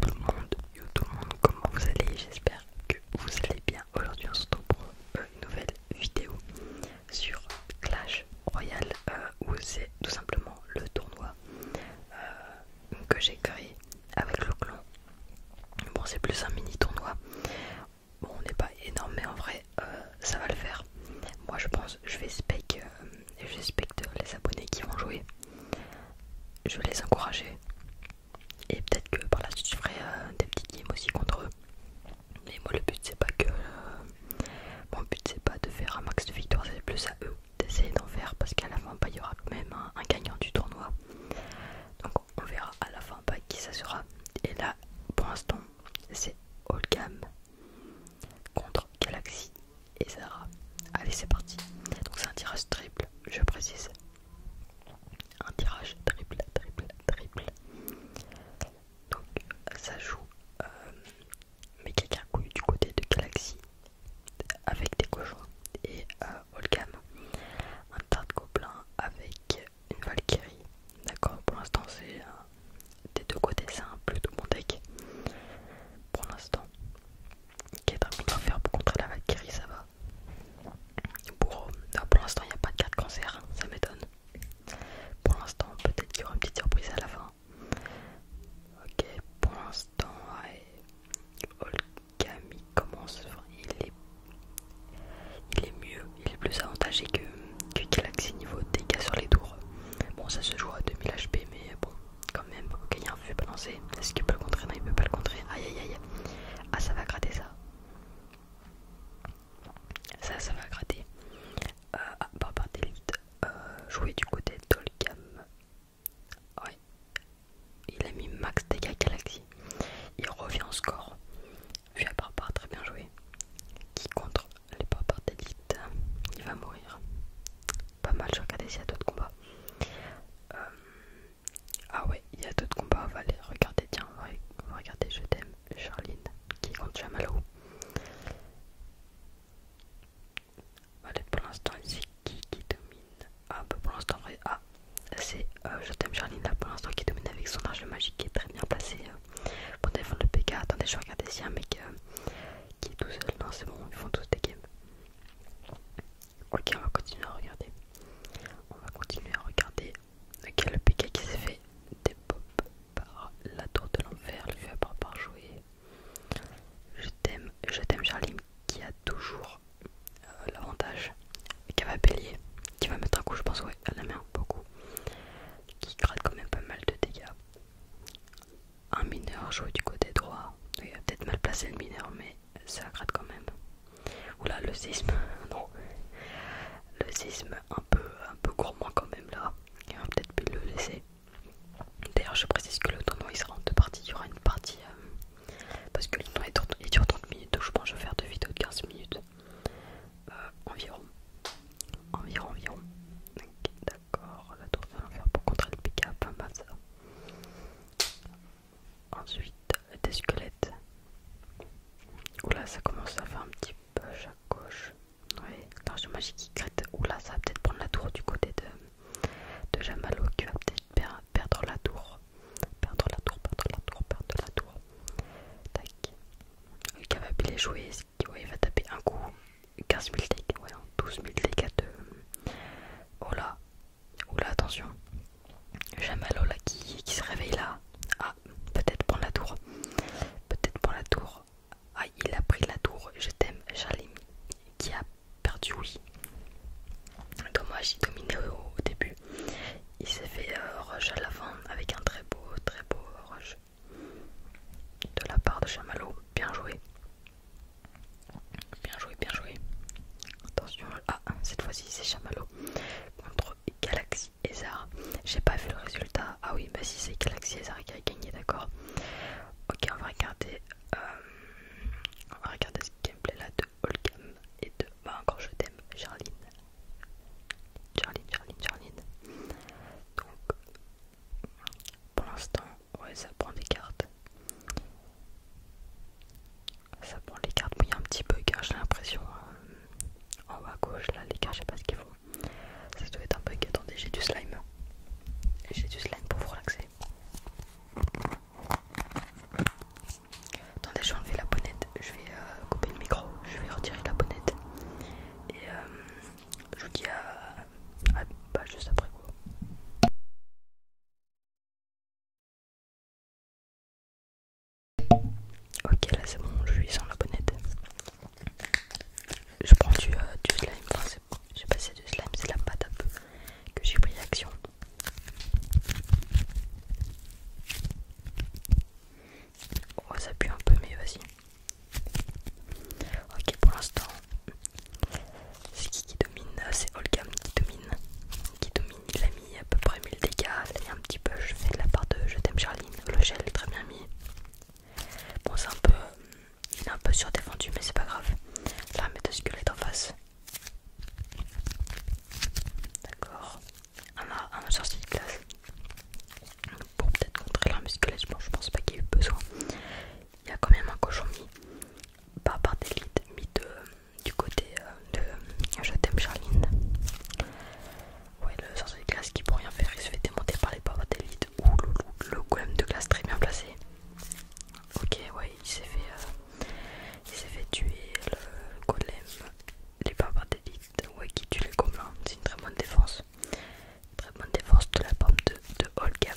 Tout le monde, tout le monde, comment vous allez J'espère que vous allez bien. Aujourd'hui on se retrouve pour euh, une nouvelle vidéo sur Clash Royale euh, où c'est tout simplement le tournoi euh, que j'ai créé avec le clan. Bon c'est plus un mini tournoi. Bon on n'est pas énorme mais en vrai ça va le faire. Moi je pense je vais spec suspecte les abonnés qui vont jouer. Je vais les encourager. Et peut-être que par la suite je ferai euh, des petits games aussi contre eux. Mais moi le but c'est pas que... Euh, mon but c'est pas de faire un max de victoires, c'est plus à eux d'essayer d'en faire parce qu'à la fin bah, il y aura quand même un, gagnant du tournoi. Donc on verra à la fin pas bah, qui ça sera. Et là pour l'instant c'est game contre Galaxy et Zara. Allez, c'est parti. Donc, c'est un tirage triple, je précise. Un tirage triple, triple, triple. Donc, ça joue euh, mais quelqu'un du côté de Galaxy avec des cochons et à euh, Holgam. Un tas de avec une Valkyrie. D'accord, pour l'instant, c'est un des deux côtés c'est un plutôt bon deck pour l'instant ok est faire pour contrer la Valkyrie ça va pour, euh, l'instant il n'y a pas de carte cancer hein, ça m'étonne pour l'instant peut-être qu'il y aura une petite surprise à la fin ok pour l'instant Olkami commence il est il est mieux, il est plus avantagé que, que Galaxy niveau dégâts sur les tours. Bon, ça se joue à 2000 HP, mais bon, quand même. Ok, il y a un feu balancé. Est-ce qu'il peut le contrer Non, il peut pas le contrer. Aïe aïe aïe. Ah, ça va gratter ça. Ça, ça va gratter. à euh, ah, par part d'élite. jouer du côté d'Olgam. Ouais. Il a mis max dégâts galaxie. Il revient au score. Vu à part, part très bien joué. Qui contre les par d'élite, il va mourir. Pas mal, je regarder s'il y a d'autres combats. Euh, ah ouais, il y a d'autres combats, on va aller regarder, tiens, on va, Je t'aime, Charline, qui compte Jamalo. Allez, pour l'instant, c'est qui qui domine Ah, bah, pour l'instant, ah, c'est euh, Je t'aime, Charline, là pour l'instant qui domine avec son arche magique qui est très bien passé pour défendre le PK. Attendez, je vais regarder s'il y a un mec euh, qui est tout seul. Non, c'est bon, ils font tous des games. Ok, on va continuer à regarder. On va continuer à regarder. Ok, le PK qui s'est fait des pop par la tour de l'enfer, le va par par jouer. Je t'aime, je t'aime Charlie qui a toujours euh, l'avantage qui va bélier, qui va mettre un coup je pense à la main beaucoup, qui gratte quand même pas mal de dégâts. Un mineur joué du côté droit. Il a peut-être mal placé le mineur, mais ça gratte quand même. Oula, le sisme, non. Le sisme, un peu, un peu gourmand quand même là. Il va peut-être plus le laisser. D'ailleurs, je précise que le tournoi il sera en deux parties. Il y aura une partie euh, parce que le tournoi il dure 30 minutes, donc je pense que je vais faire deux vidéos de 15 minutes euh, environ. Environ, environ. D'accord, la tour de l'enfer pour contrer le pick-up, enfin, ça. Ensuite, des squelettes. Oula, ça commence à faire un petit peu à gauche. Oui, attention magique qui crête. Oula, ça va peut-être prendre la tour du côté de, de qui va peut-être perdre la tour. Perdre la tour, perdre la tour, perdre la tour. Tac, jouer, il va taper un coup 15 000 dégâts, 12 000 dégâts de... Oh là, attention. j'aime Alola qui, qui se réveille là. Ah, peut-être prendre la tour. Peut-être prendre la tour. Ah, il a pris la tour. Je t'aime, Charlie, qui a perdu, oui. Dommage, il dominait au, début. Il s'est fait euh, roche à l'avant avec un très beau, très beau roche de la part de Chamallow. Bien joué. Bien joué, bien joué. Attention, ah, cette fois-ci c'est Chamallow contre Galaxy Ezar. J'ai pas vu le résultat. Ah oui, bah si c'est Galaxy Ezar qui a gagné, d'accord. Ok, on va regarder. Euh, regarder ce gameplay là de Holgam et de. Bah, encore je t'aime, Charline. Charlie, Charline, Charlie. Donc, pour l'instant, ouais, ça prend des cartes. Ça prend des cartes, mais il y a un petit bug, hein, j'ai l'impression. Euh, en haut à gauche, là, les cartes, je sais pas ce qu'il faut. Ça doit être un bug. Attendez, j'ai du slime. J'ai du slime pour vous relaxer. Attendez, je vais enlever la bonnette je vais euh, couper le micro, je vais retirer la bonnette et euh, je vous dis à, juste après quoi. Ok, là c'est bon, je suis sans la bonnette. Je prends du, euh, slime, je slime, pas si c'est du slime, c'est la pâte que j'ai pris l'action. Oh, ça pue un peu, mais vas-y. Ok, pour l'instant, c'est qui qui domine C'est Holgam qui domine. Qui domine, il a mis à peu près 1000 dégâts. Il a un petit peu, je fais la part de Je t'aime Charline. Le gel est très bien mis. Bon, c'est un peu. Il est un peu surdéfendu, mais c'est pas grave. Là, mettez deux en face. D'accord un sorcier de glace pour peut-être contrer la musculation, Bon, je pense pas qu'il y ait eu besoin. Il y a quand même un cochon mis, pas par des mis du côté euh, de Je t'aime Charline. Ouais, le sorcier de glace qui pour rien faire, il se fait démonter par les papas d'élite. Ouh, le, le golem de glace très bien placé. Ok, ouais, il s'est fait, euh, il s'est fait tuer le golem les faveurs d'élite, ouais, qui tu les gobelins, c'est une très bonne défense. très bonne défense de la pomme de, de Gam.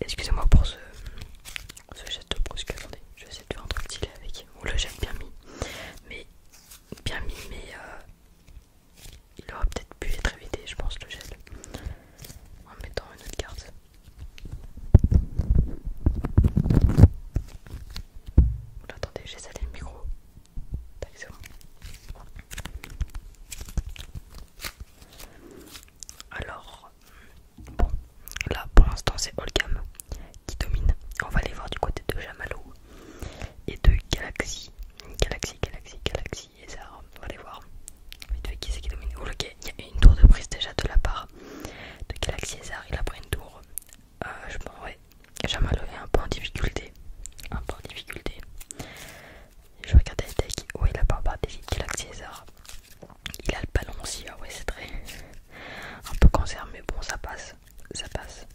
Excusez-moi pour ce, ce geste brusque, attendez, je vais essayer de faire un truc stylé avec. le oh là, bien mis, mais bien mis, mais euh, il aura peut-être pu être évité, je pense, le gel en mettant une autre carte attendez, j'ai salé le micro. Alors, bon, là pour l'instant c'est Holgam qui domine. On va aller voir du côté de Jamalo et de Galaxy. Galaxy, Galaxy, Galaxy. On va voir. Vite qui qui domine. il y a une tour de prise déjà de la part de Galaxy Ezar. Il a pris une tour. Euh, je pense, ouais. Jamal est euh, un peu en difficulté. Un peu en difficulté. Je regarde les tech. Ouais, il a pas part des Galaxy Il a le ballon aussi. Ah, ouais, c'est très. Un peu cancer, mais bon, ça passe. Ça passe.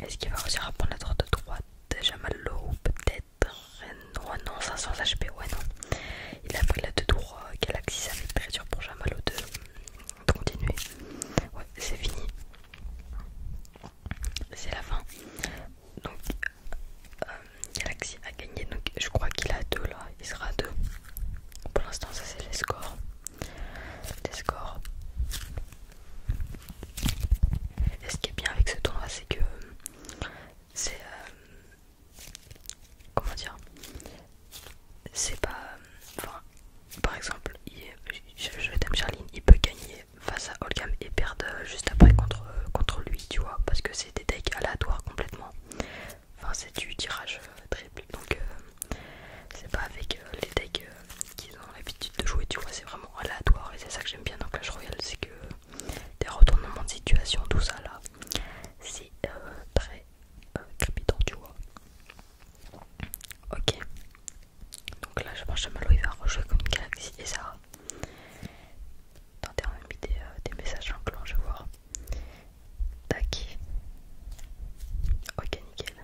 Est-ce qu'il va réussir à prendre la droite de droite Jamal ou peut-être Oh Ouais, non, 500 HP, ouais, non. Il a pris la 2 tour, Galaxy, ça fait très dur pour Jamalo de, continuer. Ouais, c'est fini. C'est la fin. Donc, euh, Galaxy a gagné. Donc, je crois qu'il a 2 là. Il sera à 2. Pour l'instant, ça c'est les scores. Les scores. Et ce qui est bien avec ce tournoi, c'est que euh, c'est euh, comment dire c'est pas euh, enfin par exemple je, t'aime Charline il peut gagner face à Holgam et perdre euh, juste après contre contre lui tu vois parce que c'est des decks aléatoires complètement enfin c'est du tirage triple donc c'est pas avec les decks qu'ils ont l'habitude de jouer, tu vois, c'est vraiment aléatoire et c'est ça que j'aime bien dans Clash Royale, c'est que des retournements de situation, tout ça là, c'est euh, très euh, crépitant, tu vois. Ok, donc là, je pense que Malo il va rejouer comme une galaxie et ça. Tenter on a mis des messages en clan, je vais voir. Tac. Ok, nickel.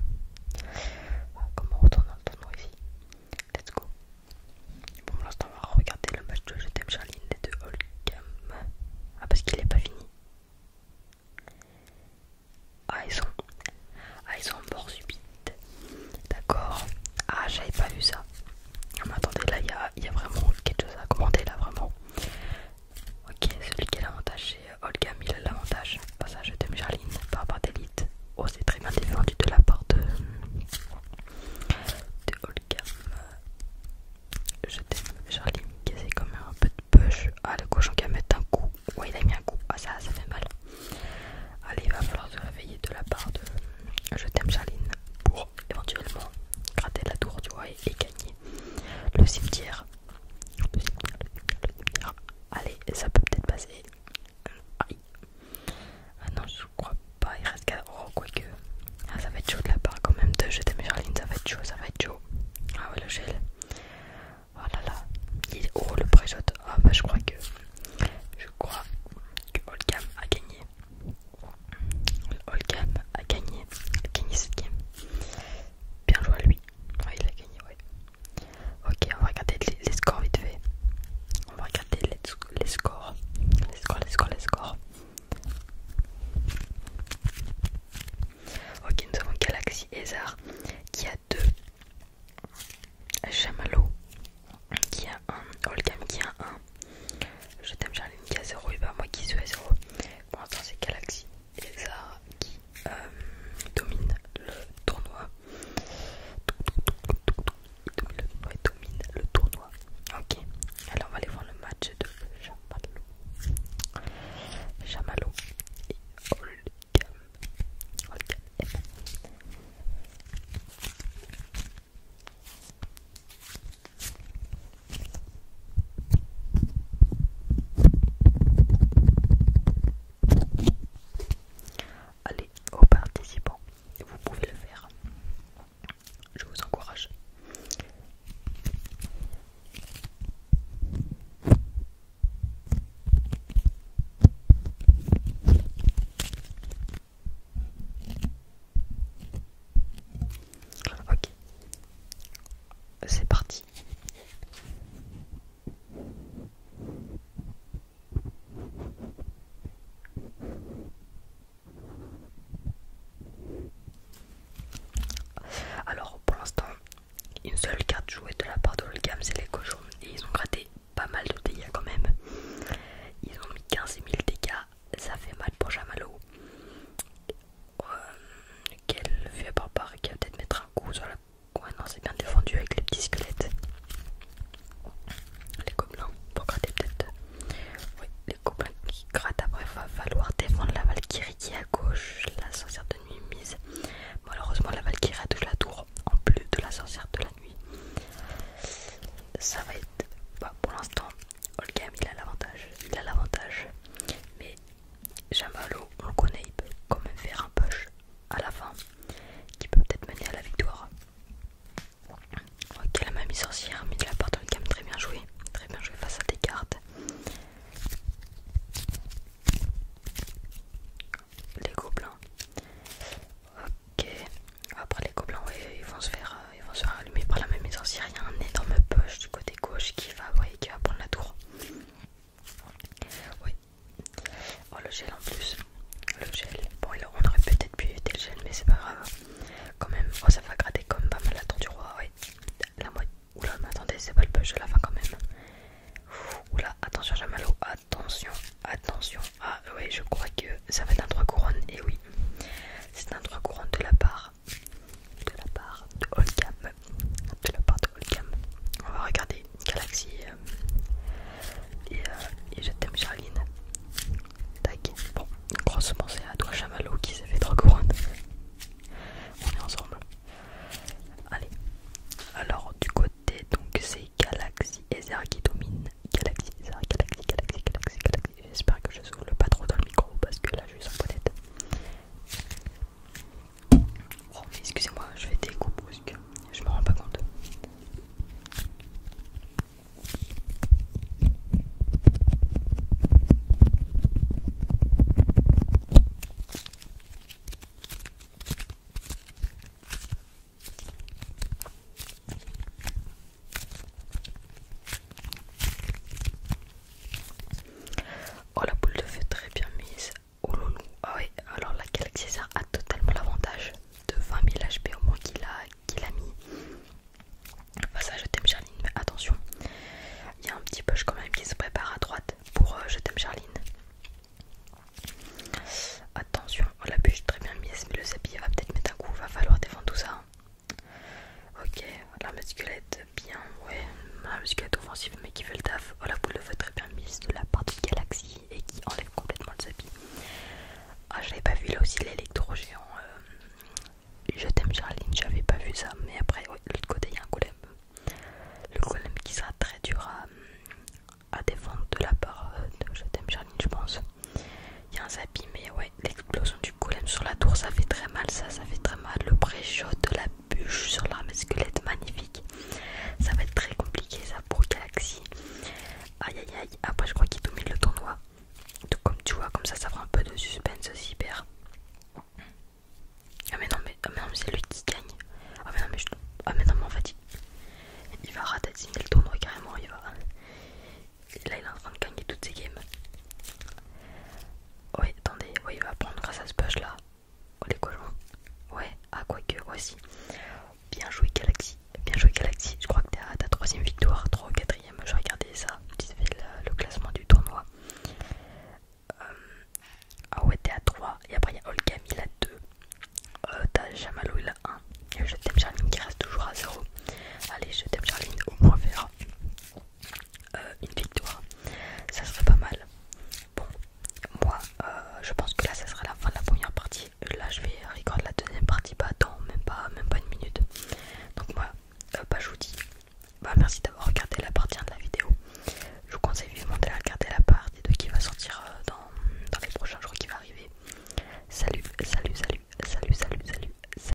Comment on retourne dans le tournoi ici Let's go. Bon, pour l'instant, on va regarder le match de Je t'aime et de Holcam. Ah, parce qu'il n'est pas fini. Ah, ils sont. Ah, ils sont morts subites. D'accord. Ah, j'avais pas vu ça. Ah, mais attendez, là, il y a, vraiment quelque chose à commenter, là, vraiment. Ok, celui qui a l'avantage, c'est euh, Olgam Il a l'avantage. Pas ça, Je t'aime Charline par rapport à Oh, c'est très bien défendu de la part de, de Holgam. Je t'aime, qui C'est comme un peu de push. Ah, le cochon qui a mis un coup. Ouais, il a mis un coup. Ah, ça, ça fait mal. Allez, il va falloir se réveiller de la part de Je t'aime, Charline, pour éventuellement gratter la tour, tu vois, et, et gagner le cimetière. Le cimetière, le cimetière, le cimetière. Allez, ça peut peut-être passer. Ah non, je crois pas. Il reste qu'à... Oh, que Ah, ça va être chaud de la part quand même de jeter mes Ça va être chaud, ça va être chaud. Ah ouais, le gel. Oh là là. Oh, le pré Ah bah, je crois que. Je crois que Holgam a gagné. Holgam a gagné. A gagné game. Bien joué à lui. il a gagné, ouais. Ok, on va regarder les, scores vite fait. On va regarder les, scores. Les scores, les scores, les scores. Ok, nous avons Galaxy Ezar qui a 2. Jamalo qui a 1. Holgam qui a 1. Je t'aime Charline qui a 0 et ben, moi qui suis à 0. Pour l'instant c'est Galaxy Ezar qui il euh, domine le tournoi. Il domine le tournoi. Ok, alors on va aller voir le match de Chamalo. Chamalo et eh ben. Allez, aux participants, vous pouvez le faire. Je vous encourage. Ok, c'est parti. Alors pour l'instant, une seule carte jouée de la part de Holgam, c'est les cochons. Et ils ont gratté pas mal de dégâts quand même. Ils ont mis 15 000 dégâts, ça fait mal pour Jamalo. Euh, à part par qui va peut-être mettre un coup sur la Ouais, non, c'est bien défendu avec les petits squelettes. Les gobelins pour gratter peut-être. les gobelins qui grattent. Après, va falloir défendre la Valkyrie qui est à gauche, la sorcière de nuit mise. Malheureusement, la Valkyrie a de la tour en plus de la sorcière de la nuit. Ça va être. Bah, pour l'instant, Olgam il a l'avantage. Il a l'avantage. Mais Jamalo, on le connaît quand même faire un poche à la fin qui peut peut-être mener à la victoire. Ok, la mamie sorcière, mais il a pardon, quand très bien joué, très bien joué face à des cartes. Les gobelins. Ok, après les gobelins, ils vont se faire, euh, ils vont se faire allumer par la mamie sorcière. Il y a un énorme poche du côté gauche qui va, qui va prendre la tour. Oui. Oh, le gel en plus. Le gel. Bon, on aurait peut-être pu éviter le gel, mais c'est pas grave. Quand même, oh, ça va gratter comme pas mal la dent du roi. Ouais. La moitié. Oula, mais attendez, c'est pas le push de la fin quand même. Oula, attention, j'ai Attention, attention. Ah, oui, je crois que ça va être un 3 couronnes. Et oui, c'est un 3 couronnes de la part de la part de Holgam. De la part de Holgam. On va regarder Galaxy euh, et, euh, et je t'aime Charline. Tac. Bon, modo, c'est à toi Chamallow qui s'est fait trop couronnes. On est ensemble. Allez. Alors du côté donc c'est et Zer qui domine. Galaxie, galaxie Galaxy, Galaxy, Galaxy, Galaxy. J'espère que je ne souffle pas trop dans le micro parce que là je suis sans tête Oh, excusez-moi, je fais des coups que je me rends pas compte. Oh la boule de feu très bien mise. Oh loulou. Ah ouais, alors la galaxie a totalement l'avantage de 20 000 HP au moins qu'il a, mis. Enfin ça je t'aime Charline, mais attention. Il y a un petit poche quand même qui se prépare à droite pour euh, je t'aime Charline. Attention, oh la bûche très bien mise, mais le sablier va peut-être mettre un coup, va falloir défendre tout ça. Hein. Ok, la musculette, bien, ouais, la musculette offensive mais qui fait le taf. Oh, la boule de très bien mise de la part de Galaxy et qui enlève complètement le Zabi. Ah, j'avais pas vu là aussi l'électro-géant. Euh, je t'aime, Charline, j'avais pas vu ça, mais après, oui, l'autre côté, il y a un golem. Le golem qui sera très dur à, défendre de la part euh, de je t'aime, Charline, je pense. Il y a un Zabi mais ouais, l'explosion du golem sur la tour, ça fait très mal, ça, ça fait très mal. Le pré-shot de la bûche sur l'arme squelette, magnifique. Ça va être très compliqué, ça, pour Galaxy. Aïe aïe aïe, après je crois qu'il domine le tournoi. Tout comme tu vois, comme ça, ça fera un peu de suspense aussi, Ah mais non, mais, ah, mais, c'est lui qui gagne. Ah mais non, mais, ah mais, non, en fait, il, il va ratatiner le tournoi carrément, il va... Là il est en train de gagner toutes ses games. Oui, attendez, oui, il va prendre grâce à ce push là. Oh les colons. Ouais, ah que, aussi. Bien joué Galaxy, bien joué Galaxy. Je crois que t'es à ta troisième victoire, 3 ou 4 Je regardais ça, tu sais, le, classement du tournoi. Euh, ah ouais, t'es à 3. Et après, il y a Olga il 2. Euh, T'as Jamalou il a 1. Et je t'aime Charline qui reste toujours à 0. Allez, je t'aime Charline, au moins faire. Euh, une victoire, ça serait pas mal. Bon, moi euh, je pense que là ça sera la fin de la première partie. Là je vais record la deuxième partie, pas dans même pas, même pas une minute. Donc moi, euh, bah, je vous dis, bah, merci d'avoir regardé la partie de la vidéo. Je vous conseille vivement la regarder la partie de qui va sortir dans, dans les prochains jours qui va arriver. salut, salut, salut, salut, salut. salut.